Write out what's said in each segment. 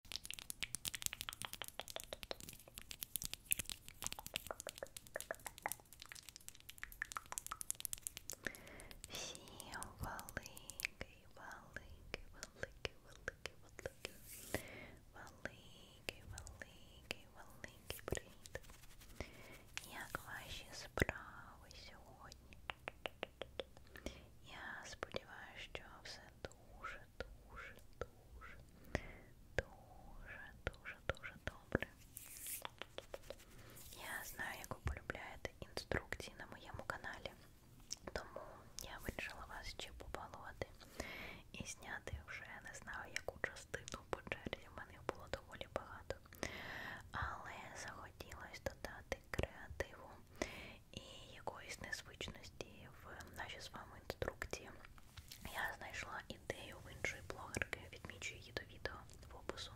Всім великий, великий, великий, великий, великий, великий, великий, великий привіт. Як ваші справи сьогодні? Я сподіваюся, що все дуже дуже, дуже, дуже, дуже, дуже добре. Я знаю, як ви полюбляєте інструкції на моєму каналі, тому я вирішила вас ще побалувати і зняти вже не знаю яку частину по черзі, в мене їх було доволі багато. Але захотілося додати креативу і якоїсь незвичності в нашій з вами інструкції. Я знайшла ідею в іншої блогерки, відмічу її до відео в опису,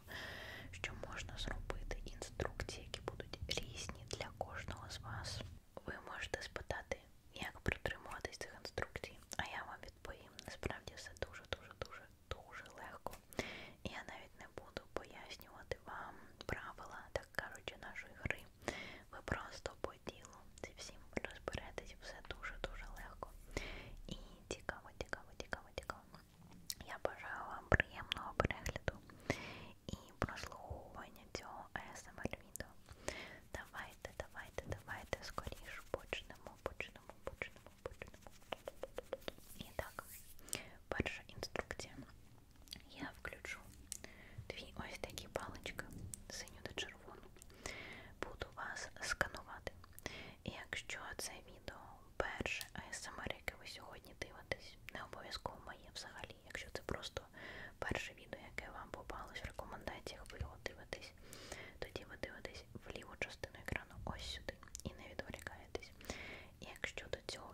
що можна зробити інструкції, які будуть різні для кожного з вас. Ви можете спитати, як притримуватись цих інструкцій, а я вам відповім. Насправді все дуже-дуже-дуже дуже легко. Я навіть не буду пояснювати вам правила, так кажучи, нашої гри ви. Ви просто по ділу зі всім розберетесь, все дуже-дуже легко. І цікаво, цікаво, цікаво, цікаво. Я бажаю вам приємного перегляду і прослуховування цього ASMR відео. Давайте, давайте, давайте скоріше почнемо, почнемо, почнемо, почнемо. І так, перша інструкція я включу дві ось такі палички, синю та червону. Буду вас сканувати. І якщо це відео перше АСМР, ем яке ви сьогодні дивитесь, не обов'язково моє взагалі, якщо це просто перше відео, яке вам попалось в рекомендаціях, ви його дивитесь, тоді ви дивитесь в ліву частину екрану ось сюди і не відволікаєтесь. І якщо до цього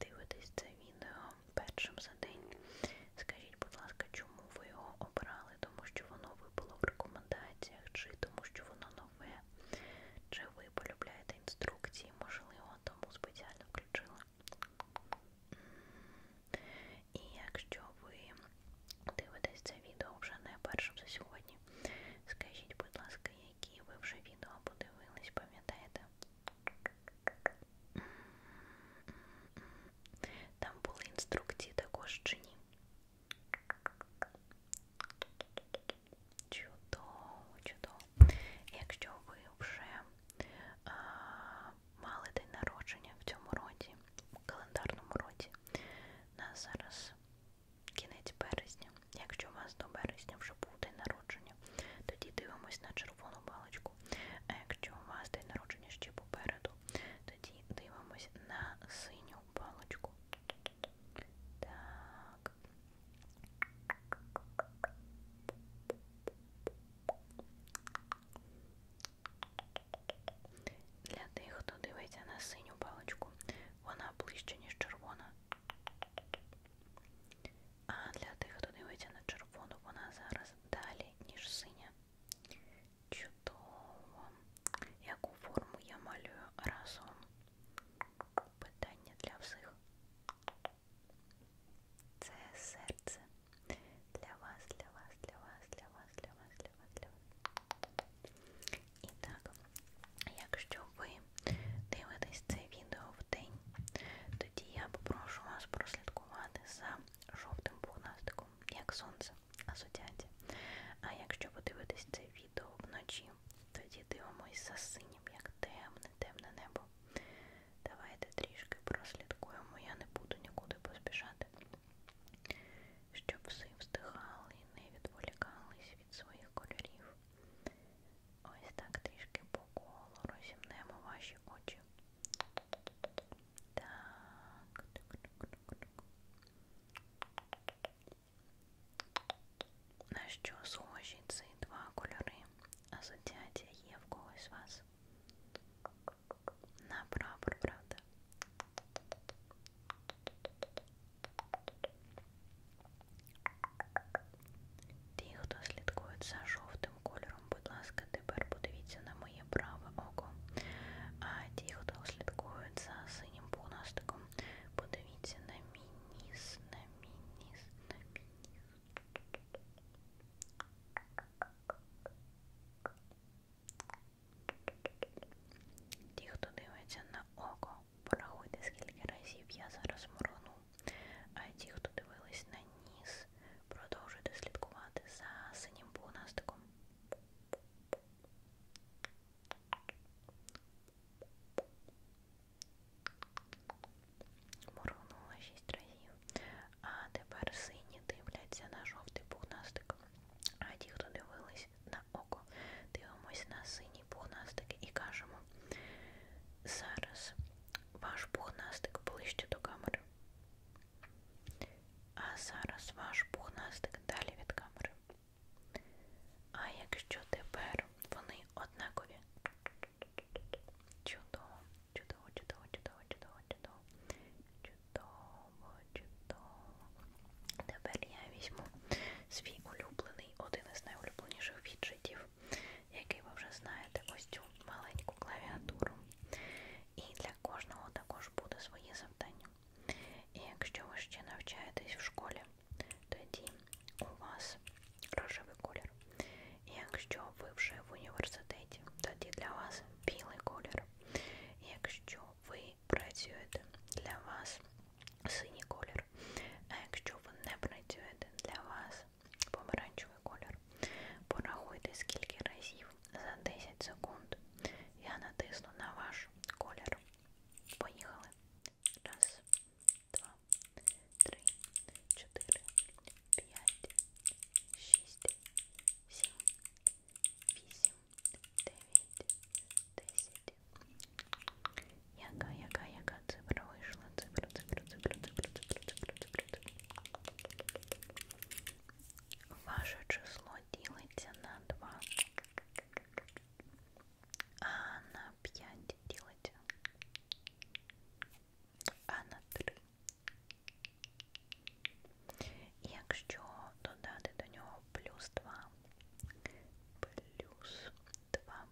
дивитесь це відео першим за день. Скажіть, будь ласка, чому ви його обрали? Тому що воно випало в рекомендаціях, чи тому що воно нове, чи ви полюбляєте інструкції, можливо, тому спеціально включила. І якщо ви дивитесь це відео вже не першим за сьогодні, скажіть, будь ласка, які ви вже відео подивились, пам'ятаєте? Там були інструкції також чи ні. Чудово, чудово. Якщо ви вже а, мали день народження в цьому році, в календарному році, на зараз кінець березня. Якщо у вас до березня вже був день народження, травня. Тоді дивимось на червону балочку. А е, якщо у вас день народження ще попереду, тоді дивимось на синю балочку. Так. Для тих, хто дивиться на синю паличку, вона ближче, ніж червона. А для тих, хто дивиться на червону, вона зараз далі, ніж синя. Чудово. Яку форму я малюю разом? Питання для всіх. Це серце. Для вас, для вас, для вас, для вас, для вас, для вас, для вас. І так, якщо ви дивитесь це відео, відео в день, тоді я попрошу вас прослідкувати за жовтим пухнастиком, як сонце, асоціація. А якщо подивитись це відео вночі, тоді дивимось за синім, як темне, темне небо. Давайте трішки прослідкуємо, я не буду нікуди поспішати. Щоб всі встигали і не відволікались від своїх кольорів. Ось так трішки по колу розімнемо ваші очі. Так. На що схожі ці два кольори? Асоціація є в когось з вас? На прапор, правда? Ті, хто слідкують за жовтим кольором, будь ласка, тепер подивіться на моє праве око. А ті, хто слідкують за синім пунастиком, подивіться на мій ніс, на мій ніс, на мій ніс. Ті, хто дивиться на око, порахуйте, скільки разів я зараз моргну. А ті, хто дивились на ніс, продовжуйте слідкувати за синім пугнастиком. Моргнула шість разів. А тепер сині дивляться на жовтий пугнастик. А ті, хто дивились на око, дивимось на синій пугнастик і кажемо. Зараз ваш пухнастик ближче до камери. А зараз ваш пухнастик далі від камери. А якщо тепер вони однакові. Чудово, чудово, чудово, чудово, чудово, чудово. Чудово, чудово. Тепер я візьму свій улюблений, один із найулюбленіших віджитів який ви вже знаєте, ось цю маленьку клавіатуру. І для кожного також буде своє завдання. І якщо ви ще навчаєтесь в школі, тоді у вас рожевий колір. І якщо ви вже в університеті, тоді для вас білий колір. І якщо ви працюєте, для вас синій колір. А якщо ви не працюєте, для вас помаранчевий колір. Порахуйте скільки разів за 10 секунд я натисну на ваш колір. Поїхали. Раз, два, три, чотири, п'ять, шість, сім, вісім, дев'ять, десять. Яка, яка, яка цифра вийшла? Цифра, цифра, цифра, цифра, цифра, цифра, цифра, цифра. Ваше число ділиться на 2, а на 5 ділиться, а на 3. Якщо додати до нього плюс 2, плюс 2,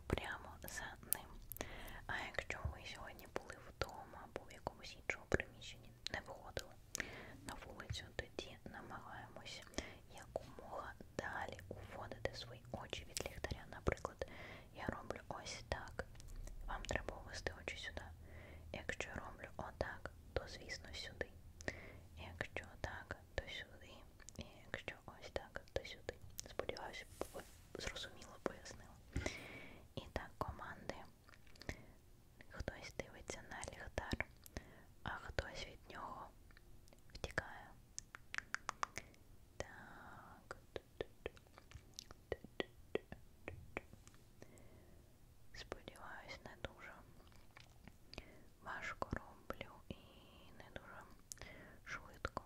йдемо прямо за ним. А якщо ви сьогодні були вдома або в якомусь іншому приміщенні, не виходили на вулицю, тоді намагаємося якомога далі уводити свої очі від ліхтаря. Наприклад, я роблю ось так. Вам треба увести очі сюди. Якщо я роблю отак, то звісно сюди. Якщо так, то сюди. І якщо ось так, то сюди. Сподіваюся, ви зрозуміло пояснила. І так, команди. Хтось дивиться на ліхтар, а хтось від нього втікає. Так. Сподіваюсь, не дуже важко роблю і не дуже швидко.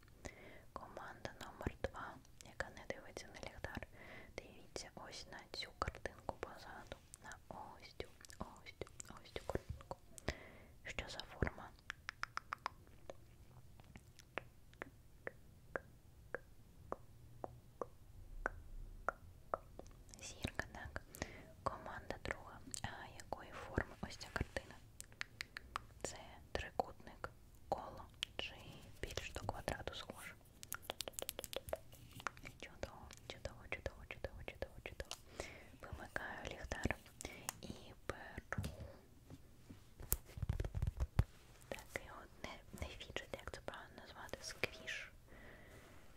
Команда номер 2 яка не дивиться на ліхтар. Дивіться ось на цю картинку позаду. На ось цю, ось цю, ось цю картинку. Що за форма? Зірка, так. Команда друга. А якої форми ось ця картина? Це трикутник коло чи більш до квадрату схоже. Чудово, чудово, чудово, чудово, чудово, чудово. Вимикаю ліхтар і беру таке от не, не фіджет, як це правильно назвати, сквіш.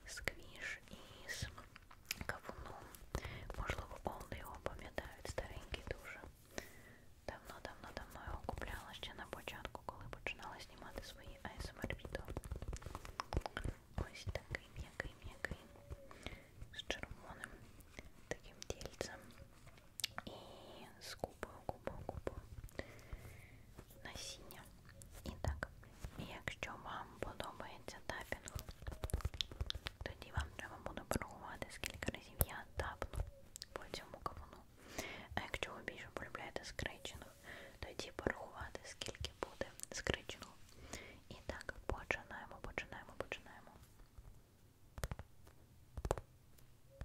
Сквіш із кавуном. Можливо, повно його пам'ятають, старенький дуже. Давно-давно-давно його купляла ще на початку, коли починала знімати свої ASMR відео. Ось такий м'який-м'який. З червоним таким тільцем. І з купою, купою, купою насіння. І так, якщо вам подобається тапінг, тоді вам треба буде порахувати, скільки разів я тапну по цьому кавуну. А якщо ви більше полюбляєте скречених, тоді порахувати, скільки буде скреченого. І так, починаємо, починаємо, починаємо. Ось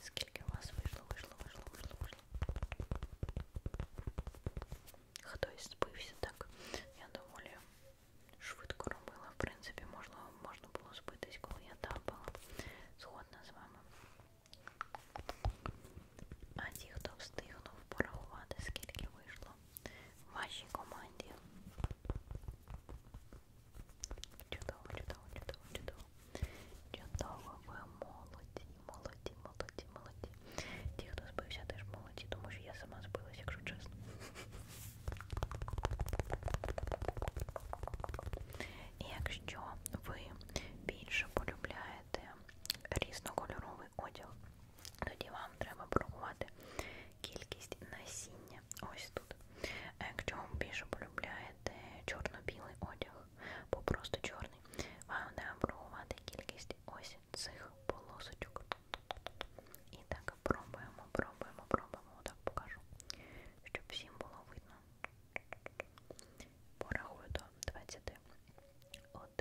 Скільки у вас вийшло, вийшло, вийшло, вийшло, вийшло. Хтось спився так. Я доволі швидко робила. В принципі, можна, можна було спитись, коли я тапала. Згодна з вами. А ті, хто встигнув порахувати, скільки вийшло в вашій команді. Чудово, чудово, чудово, чудово. Чудово, ви молоді, молоді, молоді, молоді. Ті, хто збився, теж молоді, тому що я сама збилась, якщо чесно. І якщо ви більше полюбляєте різнокольоровий одяг, тоді вам треба порахувати кількість насіння. Ось тут. А якщо ви більше полюбляєте обираєте чорно-білий одяг, бо просто чорний, вам треба обрахувати кількість ось цих полосочок. І так, пробуємо, пробуємо, пробуємо. Отак покажу, щоб всім було видно. Порахую до 20. 1,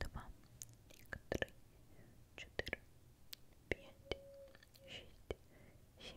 2, 3, 4, 5, 6, 7,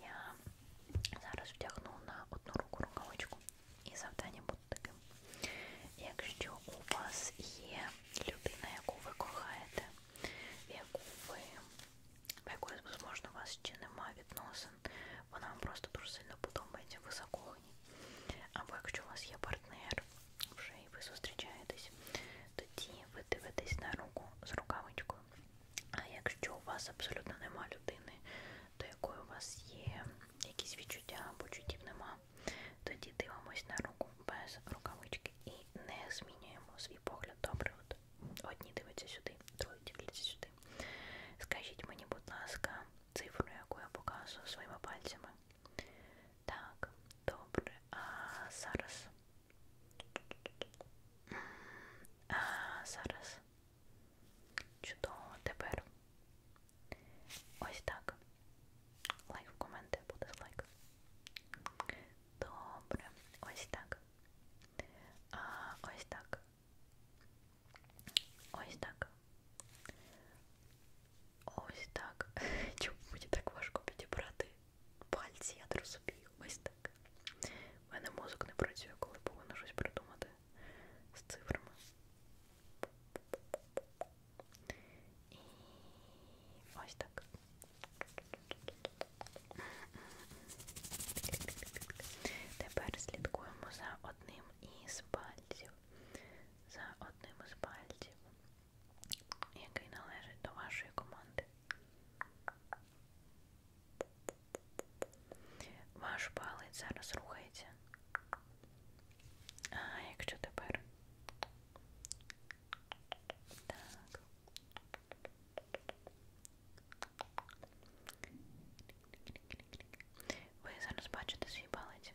Я зараз вдягну на одну руку рукавичку і завдання буде таким. Якщо у вас є людина, яку ви кохаєте, яку ви, якої, можливо, у вас ще немає відносин, вона вам просто дуже сильно подобається, ви закохані. Або якщо у вас є партнер, вже і ви зустрічаєтесь, тоді ви дивитесь на руку з рукавичкою. А якщо у вас абсолютно нема людини, до якої у вас є якісь відчуття, почуттів нема, тоді дивимось на руку без рукавички і не змінюємо свій погляд добре. От одні дивляться сюди, другі дивляться сюди. Скажіть мені, будь ласка, цифру, яку я показую своїми пальцями. Так, добре. А зараз. А зараз. Чудово тепер. Ось так. Лайк в коменти буде лайк. Добре, ось так. А, Ось так. Ось так. Ось так. Чому мені так важко підібрати пальці, я не розумію. Ось так. У мене мозок не працює, коли повинна щось придумати з цифрами. І ось так. Тепер слідкуємо за одним із пальців. За одним із пальців який належить до вашої команди. Ваш палець зараз рухається. А якщо тепер. Так. Ви зараз бачите свій палець.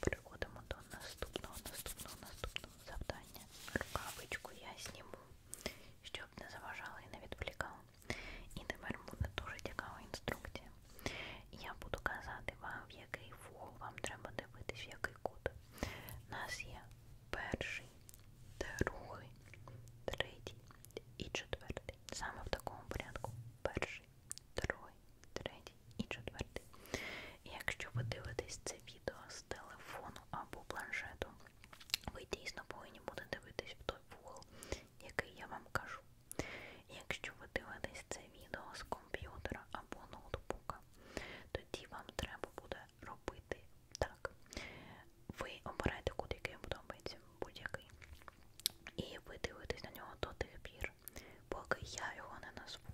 Переходимо до наступного, наступного, наступного завдання. Рукавичку я сніму, щоб не заважала і не відволікала. І тепер буде дуже цікава інструкція. Я буду казати вам, в який фул вам треба дивитись, в який кут. У нас є перший, другий, третій і четвертий. Саме в такому порядку. Перший, другий, третій і четвертий. І якщо ви дивитесь це відео з телефону або планшету, ви дійсно повинні будете дивитись в той вугол, який я вам кажу. І якщо ви дивитесь це відео з комп'ютера або ноутбука, тоді вам треба буде робити так. Ви обираєте кут, який вам подобається, будь-який. І ви дивитесь на нього до тих пір, колір, поки я його не назву.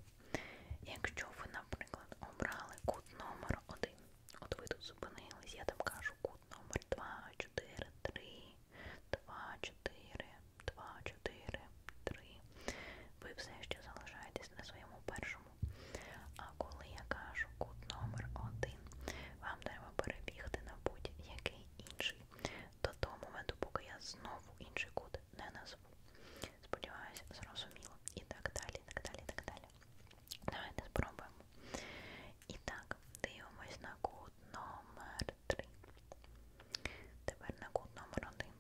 Якщо ви, наприклад, обрали кут номер 1, от ви тут зупинились, я там кажу кут номер 2, 4, 3, 2, 4, 2, 4, 3. Ви все ще залишаєтесь на своєму першому. А коли я кажу кут номер 1, вам треба перебігти на будь-який інший до того моменту, поки я знову інший код не назву. Сподіваюся, зрозуміло. І так далі, і так далі, і так далі. Давайте спробуємо. І так, дивимось на код номер 3. Тепер на код номер 1.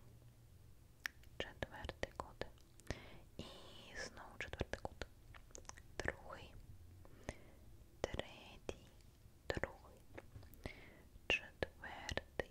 Четвертий код. І знову четвертий код. Другий. Третій. Другий. Четвертий.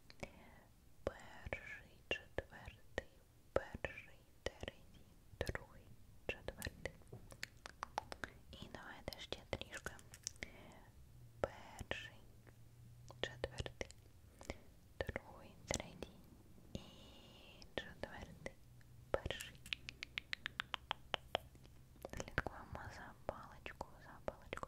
перший, четвертий, перший, третій, другий, четвертий. І давайте ще трішки. Перший, четвертий, другий, третій і четвертий, перший. Слідкуємо за паличку, за паличку.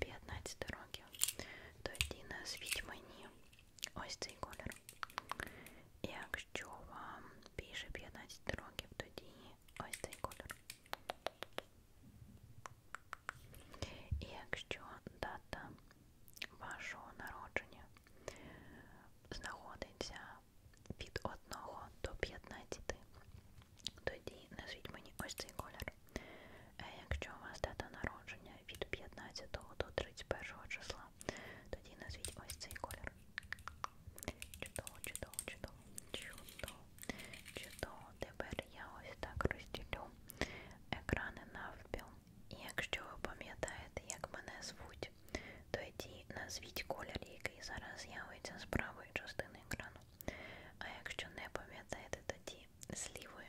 15 років. Тоді назвіть мені ось цей колір. Якщо вам більше 15 років, тоді ось цей колір. І якщо дата вашого народження знаходиться від 1 до 15, тоді назвіть мені ось цей колір. Е, якщо у вас дата народження від 15 до 31 числа, тоді назвіть ось цей колір. Чудово, чудово, чудово, чудово, чудово. Тепер я ось так розділю екрани навпіл. І якщо ви пам'ятаєте, як мене звуть, тоді назвіть колір, який зараз з'явиться з правої частини екрану. А якщо не пам'ятаєте, тоді з лівої.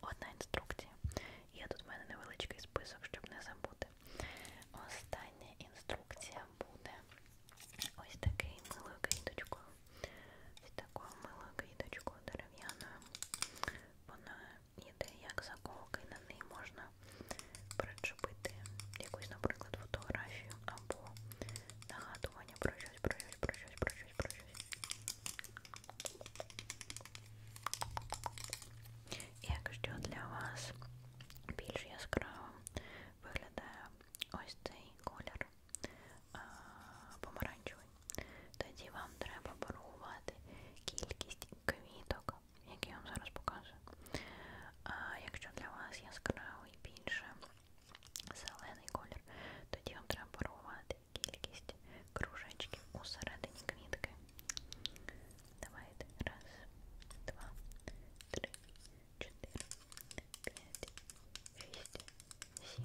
одна інструкція. Є тут в мене невеличкий список, щоб не забути. Остання інструкція буде ось такою милою квіточкою. Ось такою милою квіточкою дерев'яною. Вона йде як заколки, на неї можна причепити якусь, наприклад, фотографію або нагадування про щось, про щось, про щось, про щось, про щось. Як що для вас більш яскравим виглядає ось цей колір а, помаранчевий, тоді вам треба порахувати кількість квіток, які я вам зараз показую. А якщо для вас яскравий більше зелений колір, тоді вам треба порахувати кількість кружечків у середині квітки. Давайте раз, два, три, чотири, п'ять, шість, сім, вісім,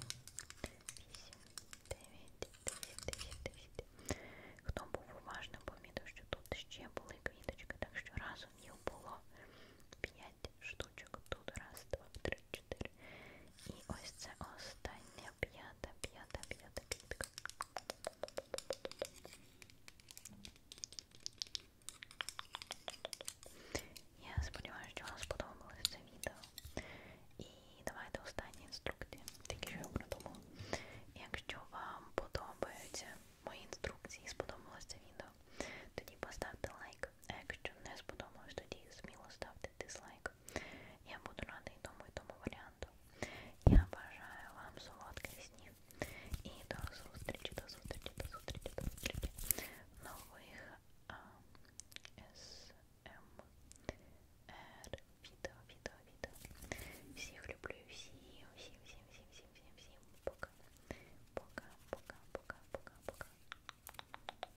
дев'ять, дев'ять, дев'ять, дев'ять. Хто був уважно помітив, що тут ще були квіточки, так що разом їх було п'ять штучок. Тут раз, два, три, 4. І ось це остання п'ята, п'ята, п'ята квітка. Я сподіваюся, що вам сподобалось це відео. І давайте останні інструкції, тільки що я придумала. Якщо вам подобаються мої інструкції, сподобалось це відео, тоді поставте лайк. А якщо не сподобалось, тоді сміло ставте поставьте дизлайк. Я буду рада и тому, и тому варианту. Я обожаю вам солодких снів. І до зустрічі, до зустрічі, до зустрічі, до зустрічі. Нових а, СМР эм відео, відео, відео. Всіх люблю, всім, всім, всім, всім, всім, всім, всім. Пока. Пока, пока, пока, пока, пока.